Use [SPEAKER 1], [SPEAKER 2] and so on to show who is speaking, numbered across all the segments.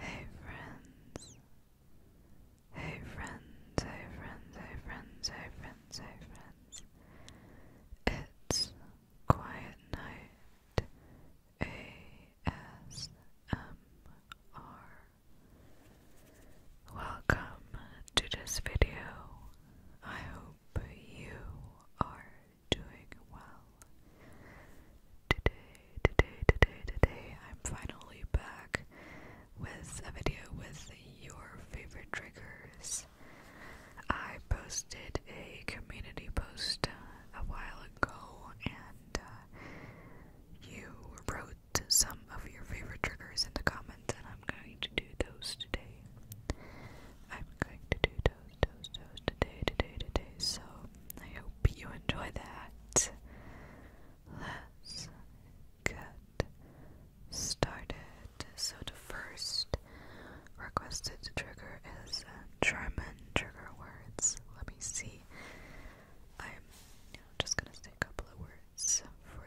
[SPEAKER 1] Hey friends. Hey friends, hey friends, hey friends, hey friends, It's Quiet Night ASMR. Welcome to this video. I hope you are doing well. Today, today, today, today, I'm finally back with a video with your favorite triggers. I posted a community post uh, a while ago and uh, you wrote some of your favorite triggers in the comments, and I'm going to do those today. I'm going to do those, those, those today, today, today. So I hope you enjoy that. Let's get started. So the first requested trigger is uh, German trigger words. Let me see. I'm just gonna say a couple of words for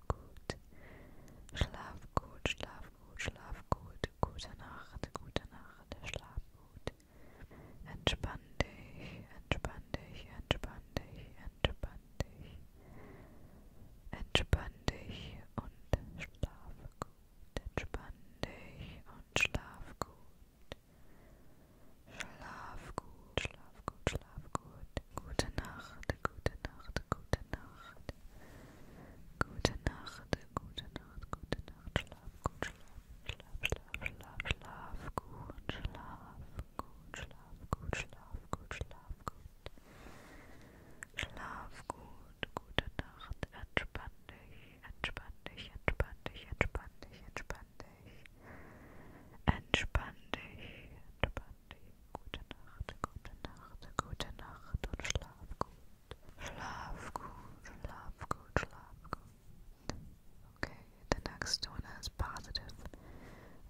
[SPEAKER 1] gut. Schlaf gut, schlaf gut, schlaf gut. Gute Nacht, gute Nacht, schlaf gut. Entspann dich, entspann dich, entspann dich, entspann dich. Entspann dich und schlaf gut. Entspann dich und schlaf gut. Schlaf gut, schlaf gut, schlaf gut. Gute Nacht, gute Nacht, gute Nacht. Gute Nacht, gute Nacht, gute Nacht. Schlaf gut, schlaf, schlaf, schlaf, schlaf, schlaf gut, schlaf gut, schlaf gut, schlaf gut, schlaf gut. Schlaf gut, gute Nacht, entspann dich, entspann dich, entspann dich, entspann dich, entspann dich. Entspann dich, entspann Party. Gute Nacht, gute Nacht, gute Nacht und schlaf gut. Schlaf good, schlaf good, schlaf good. Okay, the next one is positive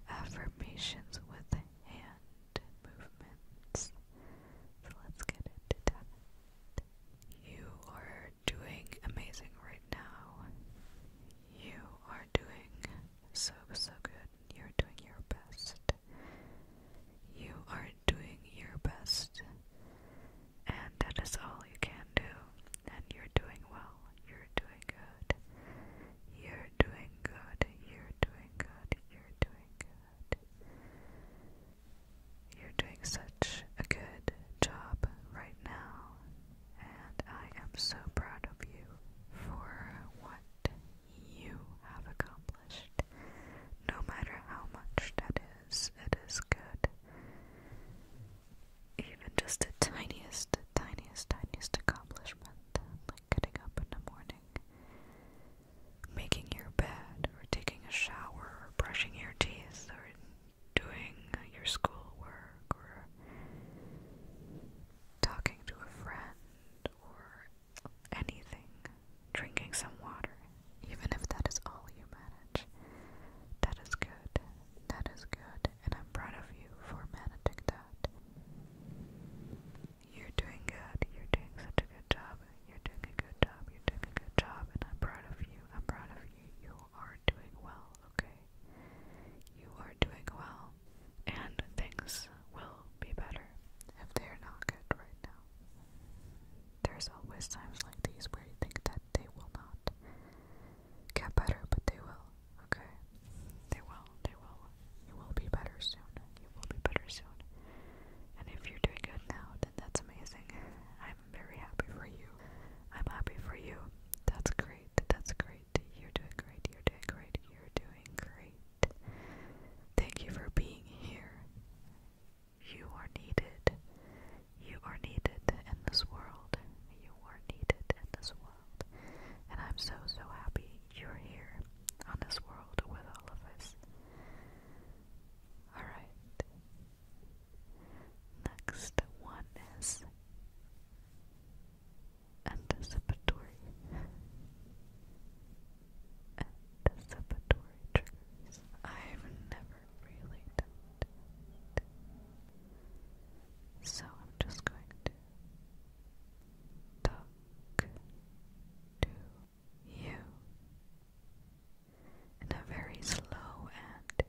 [SPEAKER 1] affirmations with hand movements. So let's get into that. You are doing amazing right now. You are doing so, so good. You're doing your best. You are doing your best. And that is all you can do. And you're doing well. You're doing good. You're doing good. You're doing good. You're doing good. You're doing such a good job right now and I am so proud of you for what you have accomplished. No matter how much that is, it is good. Even just the tiniest, tiniest, tiniest accomplishment, like getting up in the morning, making your bed, or taking a shower, or brushing your teeth, or doing your schoolwork, or talking to a friend or anything, drinking some water, even if that is all you manage. That is good. That is good, and I'm proud of you for managing that. You're doing good. You're doing such a good job. You're doing a good job. You're doing a good job, and I'm proud of you. I'm proud of you. You are doing well, okay? You are doing well and things will be better if they're not good right now. There's always times like these where you think that they will not get better, but they will, okay? They will, they will. You will be better soon. You will be better soon. And if you're doing good now, then that's amazing. I'm very happy for you. I'm happy for you. That's great. That's great. You're doing great. You're doing great. You're doing great. Thank you for being here. You are needed. You are needed in this world. You are needed in this world. And I'm so, so happy you're here on this world with all of us. Alright. Next one is anticipatory anticipatory triggers. I've never really done it. So I'm just going to talk to you in a very slow and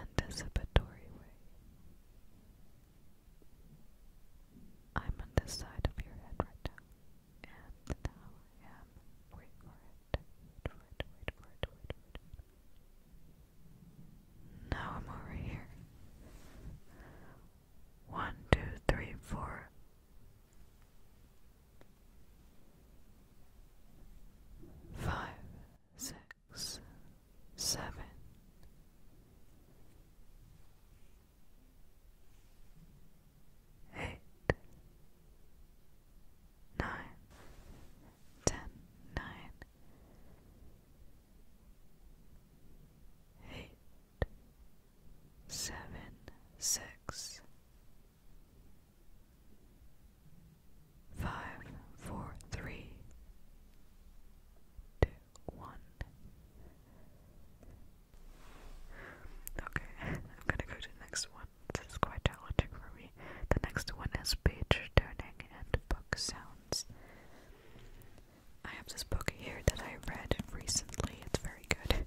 [SPEAKER 1] anticipatory way. I'm on this side of your head right now, and now I am. Wait for it. Wait for it. Wait for it. Wait for it. Now I'm over here. One, two, three, four five, six, seven, eight, nine, ten, nine, eight, seven, six. Five, four, three, two, one. Okay, I'm gonna go to next one. This is quite challenging for me. The next one is page turning and book sounds. I have this book here that I read recently. It's very good.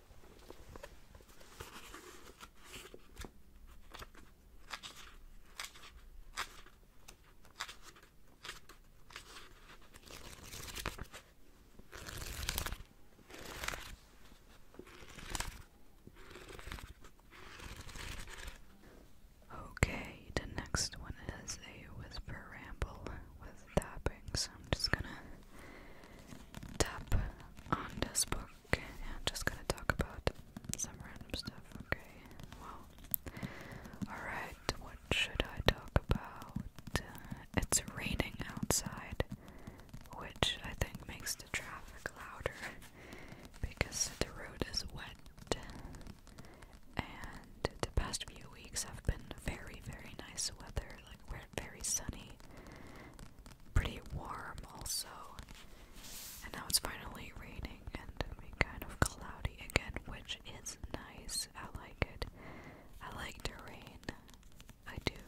[SPEAKER 1] Okay, the next one is a whisper ramble with so I'm just gonna tap on this book and I'm just gonna talk about some random stuff, okay? Well, alright, what should I talk about? Uh, it's raining outside, which I think makes the traffic louder because the road is wet. And the past few weeks have been very, very nice weather. Like, where very sunny, pretty warm also. And now it's finally raining and kind of cloudy again, which is nice. I like it. I like the rain. I do.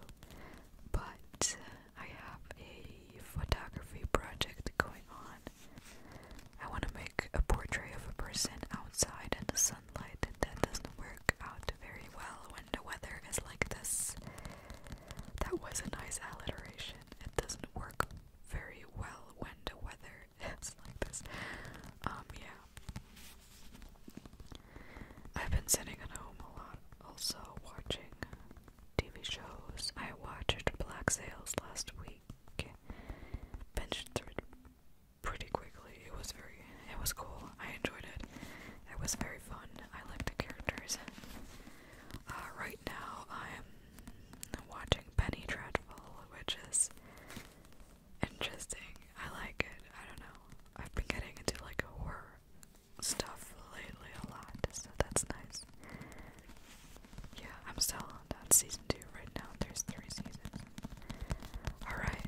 [SPEAKER 1] But I have a photography project going on. I want to make a portrait of a person outside in the sunlight, that doesn't work out very well when the weather is like this. That was a nice alliteration. It doesn't work very well when the weather is like this. Um, yeah. I've been sitting at home a lot, also watching TV shows. I watched Black Sails last week, binged it pretty quickly. It was very it was cool. I enjoyed it. It was very fun. I liked the characters. Uh, right now, I'm watching Penny Dreadful, which is interesting. I like it. I don't know. I've been getting into like horror stuff lately a lot, so that's nice. Yeah, I'm still on that season two right now. There's three seasons. Alright.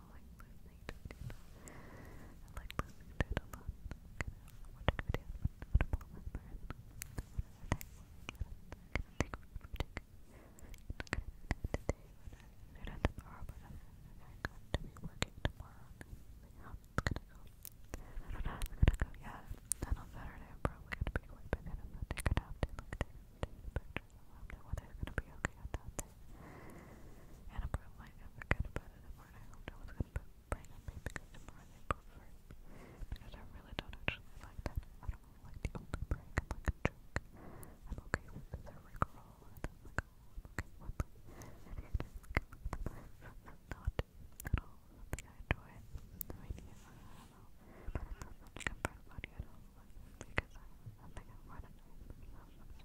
[SPEAKER 1] I like listening to it. I like listening to it a lot. Watch a video, watch a blog, learn, whatever the heck. Today, not tomorrow, but I'm going to be working tomorrow. Yeah, it's gonna go. I don't know how it's gonna go yet. And on Saturday, I'm probably gonna be going back in and Sunday. Gonna have to like take, take the pictures. I don't know whether it's gonna be okay or not. And a broom might have forgot about I hoped I was going to bring it because tomorrow they prefer Because I really don't actually like that. I don't like the open break. i like a jerk. I'm okay with the rigmarole. And oh, I'm like, okay with it. not at all I enjoy. The idea, I don't know. But it's not much comfort about you at all. because I, I think I'm running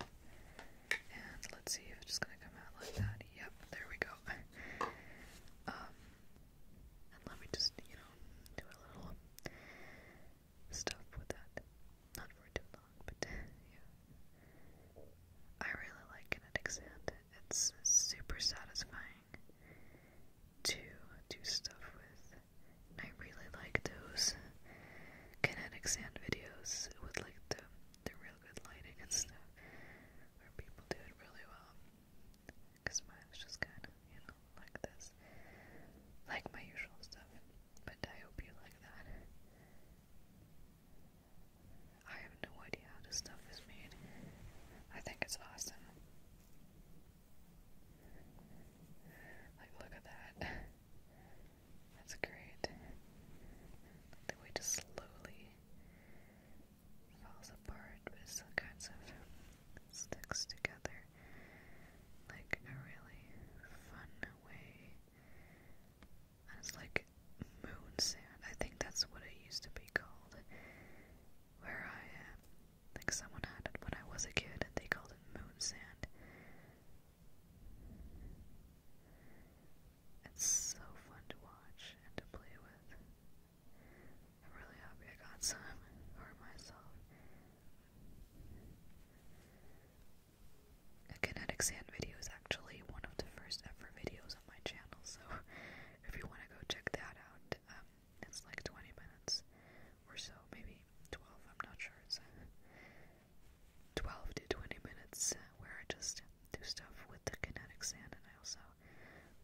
[SPEAKER 1] And let's see if it's just gonna come out like that. Yep, there we go. Um, let me just, you know, do a little stuff with that. Not for too long, but yeah. I really like kinetic sand. It's super satisfying to do stuff with. I really like those kinetic sand videos with like the the real good lighting and stuff where people do it really well. Cause mine's just kind of you know like this, like my usual stuff. But I hope you like that. I have no idea how this stuff is made. I think it's awesome. Like, look at that. That's great. The way just slowly falls apart, but still kinds of sticks together. Like a really fun way. it's like moon sand. I think that's what it used to be called. Where I am. Uh, like someone had it when I was a kid they called it moon sand. It's so fun to watch and to play with. I'm really happy I got some for myself. A kinetic sand video is actually one of the first ever videos on my channel, so if you want to go check that out, um, it's like 20 minutes or so, maybe 12, I'm not sure. It's uh, 12 to 20 minutes uh, where I just do stuff with the kinetic sand and I also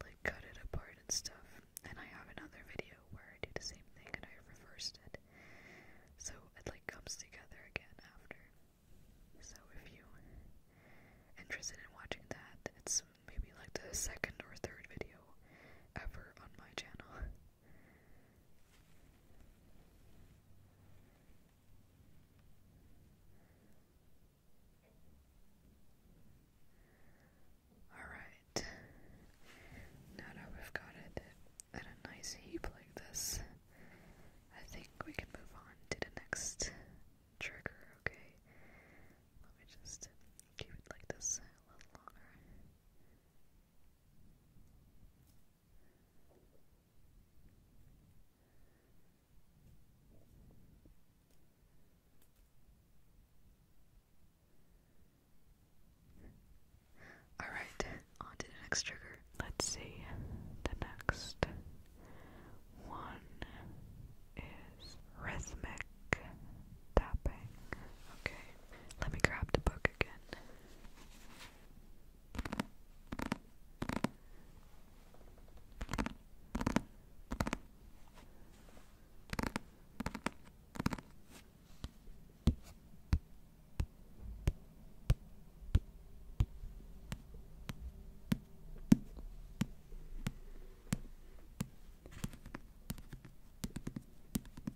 [SPEAKER 1] like cut it apart and stuff. And I have another video where I do the same thing and I reversed it. So it like comes together again after. So if you are interested in watching that, it's maybe like the second or third video ever on my channel. Alright. Now that we've got it in a nice heap like this, I think we can move on to the next trigger, okay? Let me just keep it like this a little longer. All right, on to the next trigger. Let's see. The next one is rhythmic tapping. Okay. Let me grab the book again.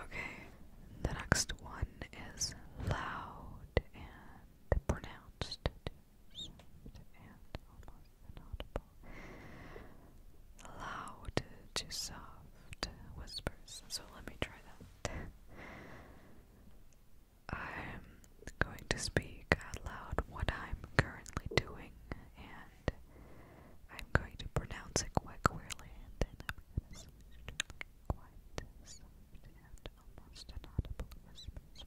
[SPEAKER 1] Okay, the next one is loud and pronounced soft and almost inaudible, loud to soft whispers. So let me try that. I'm going to speak out loud what I'm currently doing, and I'm going to pronounce it quite clearly, and then I'm going to switch to quite soft and almost inaudible whispers.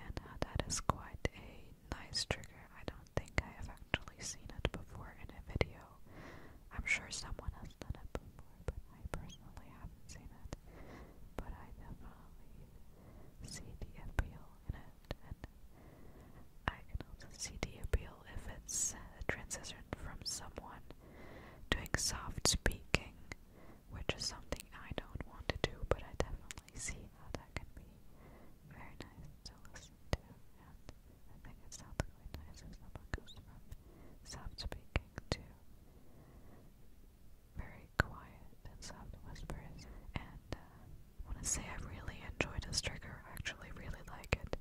[SPEAKER 1] And uh, that is quite a nice trigger. I don't think I have actually seen it before in a video. I'm sure someone has done it before, but I personally haven't seen it. But I definitely see the appeal in it, and I can also see the appeal if it's a uh, transition from someone doing soft speaking which is something I don't want to do, but I definitely see how that can be very nice to listen to. And I think it sounds really nice if someone goes from soft speaking to very quiet and soft whispers. And uh, want to say I really enjoyed this trigger. actually really like it.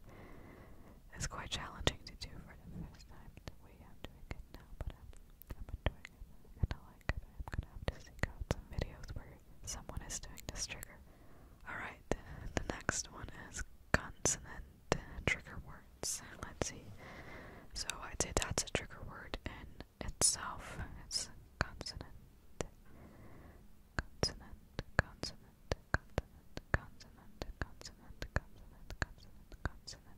[SPEAKER 1] It's quite challenging to do for the first time the way I'm doing it now, but I've been doing like I'm gonna have to seek out some videos where someone is doing this trigger. Alright, the next one is consonant trigger words. Let's see. So I'd say that's a trigger word in itself. It's consonant. Consonant, consonant, consonant, consonant, consonant, consonant, consonant, consonant.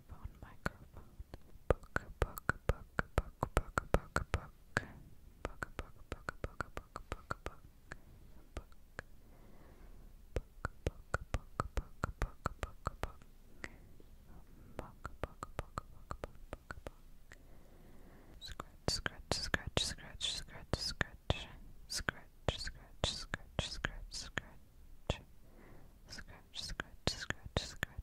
[SPEAKER 1] microphone, microphone. Book, book, book, book, book, book, book. Book, book, book, book, book, book, book. Book. Book, book, book, book, book, book, book. Book, book, book, book, book, book. Scratch, scratch, scratch, scratch, scratch, scratch. Scratch, scratch, scratch, scratch, scratch. Scratch, scratch, scratch, scratch,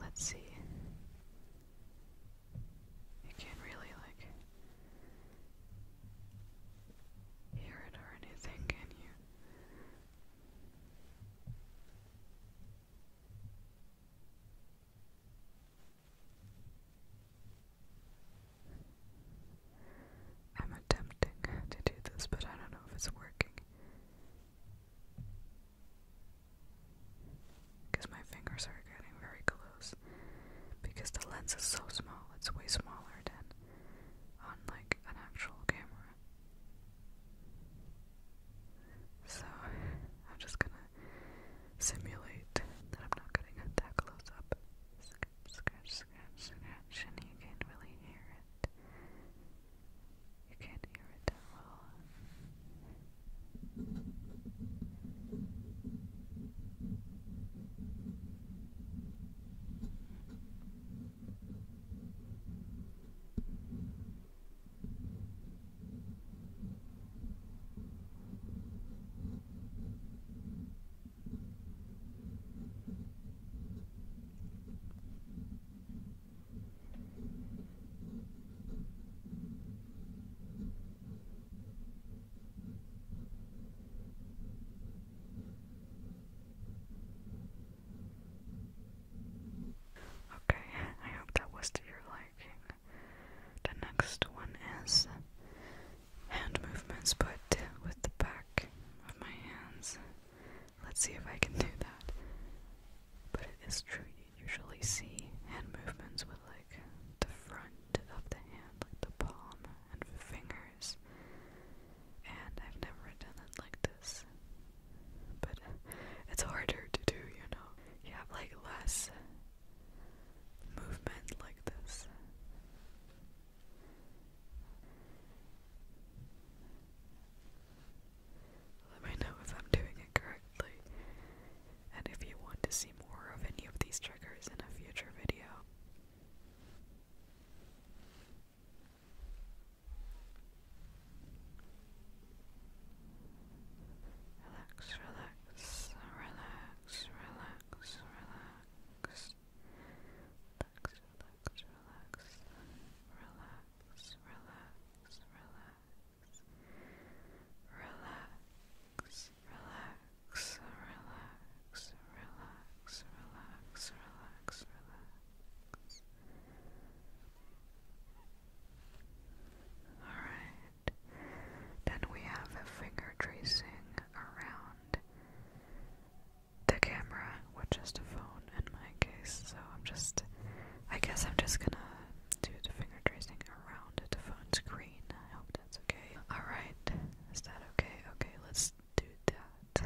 [SPEAKER 1] let's see. You can't really like hear it or anything, can you? I'm attempting to do this, but I don't know if it's working. Because my fingers are getting very close. Because the lens is so small, it's way smaller than on like an actual camera. So I'm just gonna simulate that I'm not getting it that close up. Scratch, scratch, scratch, scratch, and you can really hear it. You can't hear it that well. Okay, I hope that was to your liking. The next one is hand movements, but with the back of my hands. Let's see if I can do that. But it is true, you usually see hand movements with like the front of the hand, like the palm and fingers. And I've never done it like this. But it's harder to do, you know. You have like less movement like this. Let me know if I'm doing it correctly. And if you want to see more of any of these triggers in a future video. Relax, relax, relax, relax, relax. Relax, relax, relax, relax, relax, relax relax, relax, relax, relax, relax, relax, relax. Alright, then we have a finger tracing around the camera, which is the in my case, so I'm just, I guess I'm just gonna do the finger tracing around the phone screen. I hope that's okay. Alright, is that okay? Okay, let's do that.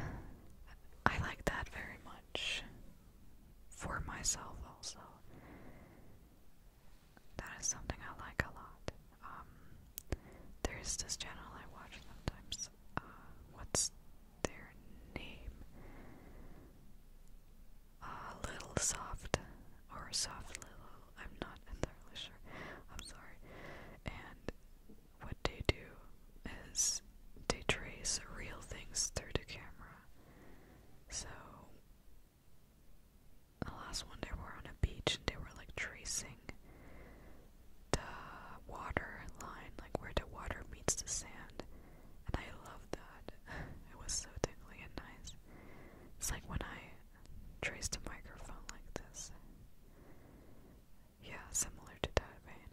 [SPEAKER 1] I like that very much. For myself, also. That is something I like a lot. Um, there's this channel I watch sometimes. Uh, what's their name. a little soft or soft little, I'm not entirely sure. I'm sorry. And what they do is they trace real things through the camera. So the last one they were on a beach and they were like tracing the water line, like where the water meets the sand and I love that. It was so tingly and nice. It's like when I traced a microphone like this. Yeah, similar to that vein.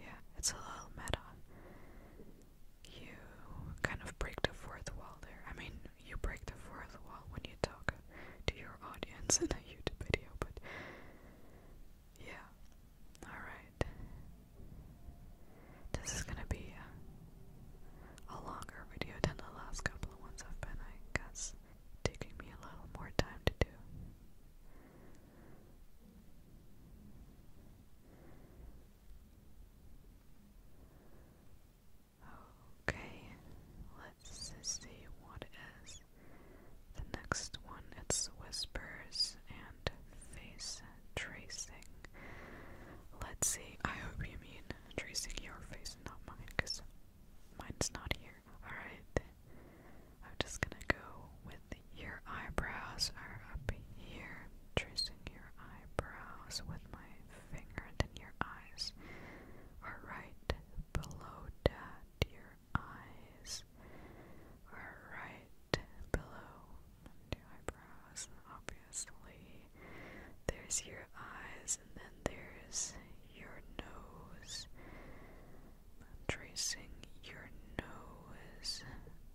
[SPEAKER 1] Yeah, it's a little meta. You kind of break the fourth wall there. I mean, you break the fourth wall when you talk to your audience in a YouTube video, but yeah. Alright. This is gonna be uh, a, longer video than the last couple of ones I've been, I guess. Taking me a little more time to do. Okay, let's see what is the next one, it's whispers and face tracing. Let's see. I hope you mean tracing your face and not mine, because mine's not here. Alright. I'm just gonna go with your eyebrows are up here. Tracing your eyebrows with my finger, and then your eyes are right below that. dear eyes are right below the eyebrows, obviously. There's your eyes, and then there's your nose. I'm tracing your nose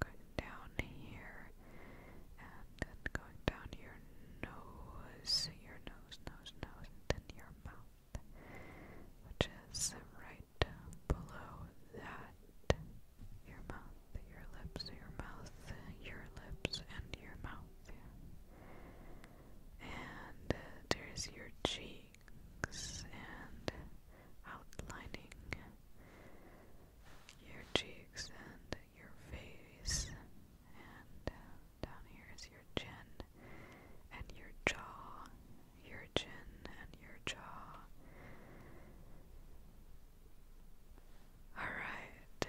[SPEAKER 1] going down here, and then going down your nose, your nose, nose, nose, and then your mouth which is right below that. Your mouth, your lips, your mouth, your lips, and your mouth. And there's your cheeks and outlining your cheeks and your face and down here is your chin and your jaw, your chin and your jaw. Alright,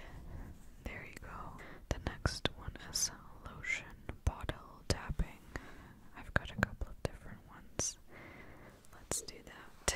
[SPEAKER 1] there you go. The next one is lotion bottle tapping. I've got a couple of different ones. Let's do that.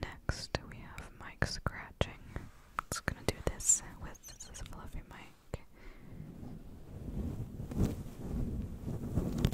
[SPEAKER 1] Next, we have Mike scratching. just gonna do this with this fluffy mic.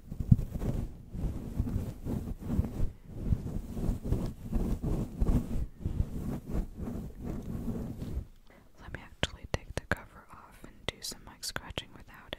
[SPEAKER 1] Let me actually take the cover off and do some mic scratching without it.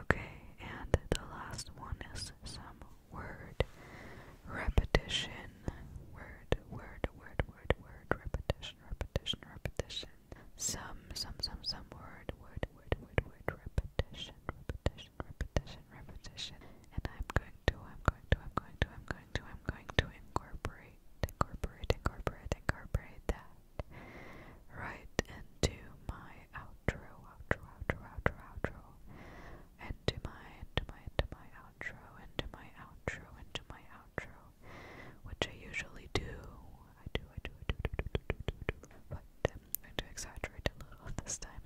[SPEAKER 1] Okay, and the last one is some word repetition. Word, word, word, word, word, repetition, repetition, repetition. Some, some, some, some word, word, word, word, repetition, repetition, repetition repetition, And I'm going to, I'm going to, I'm going to, I'm going to, I'm going to incorporate, incorporate, incorporate, incorporate that right into my outro, outro, outro, outro, outro. Into my, into my, into my outro, into my outro, into my outro. Which I usually do. I do, I do, I do, do, do, do, do, do, do. But I'm going to exaggerate a little this time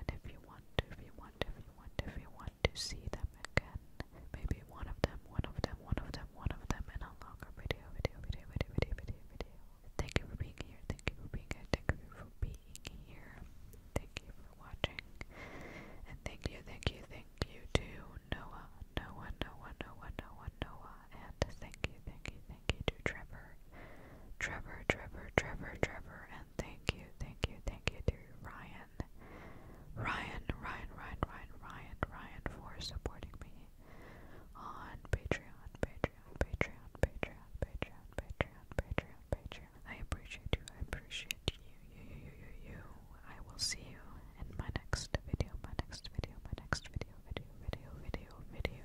[SPEAKER 1] And if you want to, if you want to, if you want if you want to see them again, maybe one of them, one of them, one of them, one of them in a longer video, video, video, video, video, video, video. Thank you for being here. Thank you for being here. Thank you for being here. Thank you for watching. And thank you, thank you, thank you to Noah, Noah, Noah, Noah, Noah, Noah. And thank you, thank you, thank you to Trevor Trevor, Trevor, Trevor, Trevor, and thank you, thank you, thank you to Ryan. Ryan, Ryan, Ryan, Ryan, Ryan, for supporting me on Patreon, Patreon, Patreon, Patreon, Patreon, Patreon, Patreon, Patreon. I appreciate you, I appreciate you, you, you, you, you, you. I will see you in my next video, my next video, my next video, video, video, video, video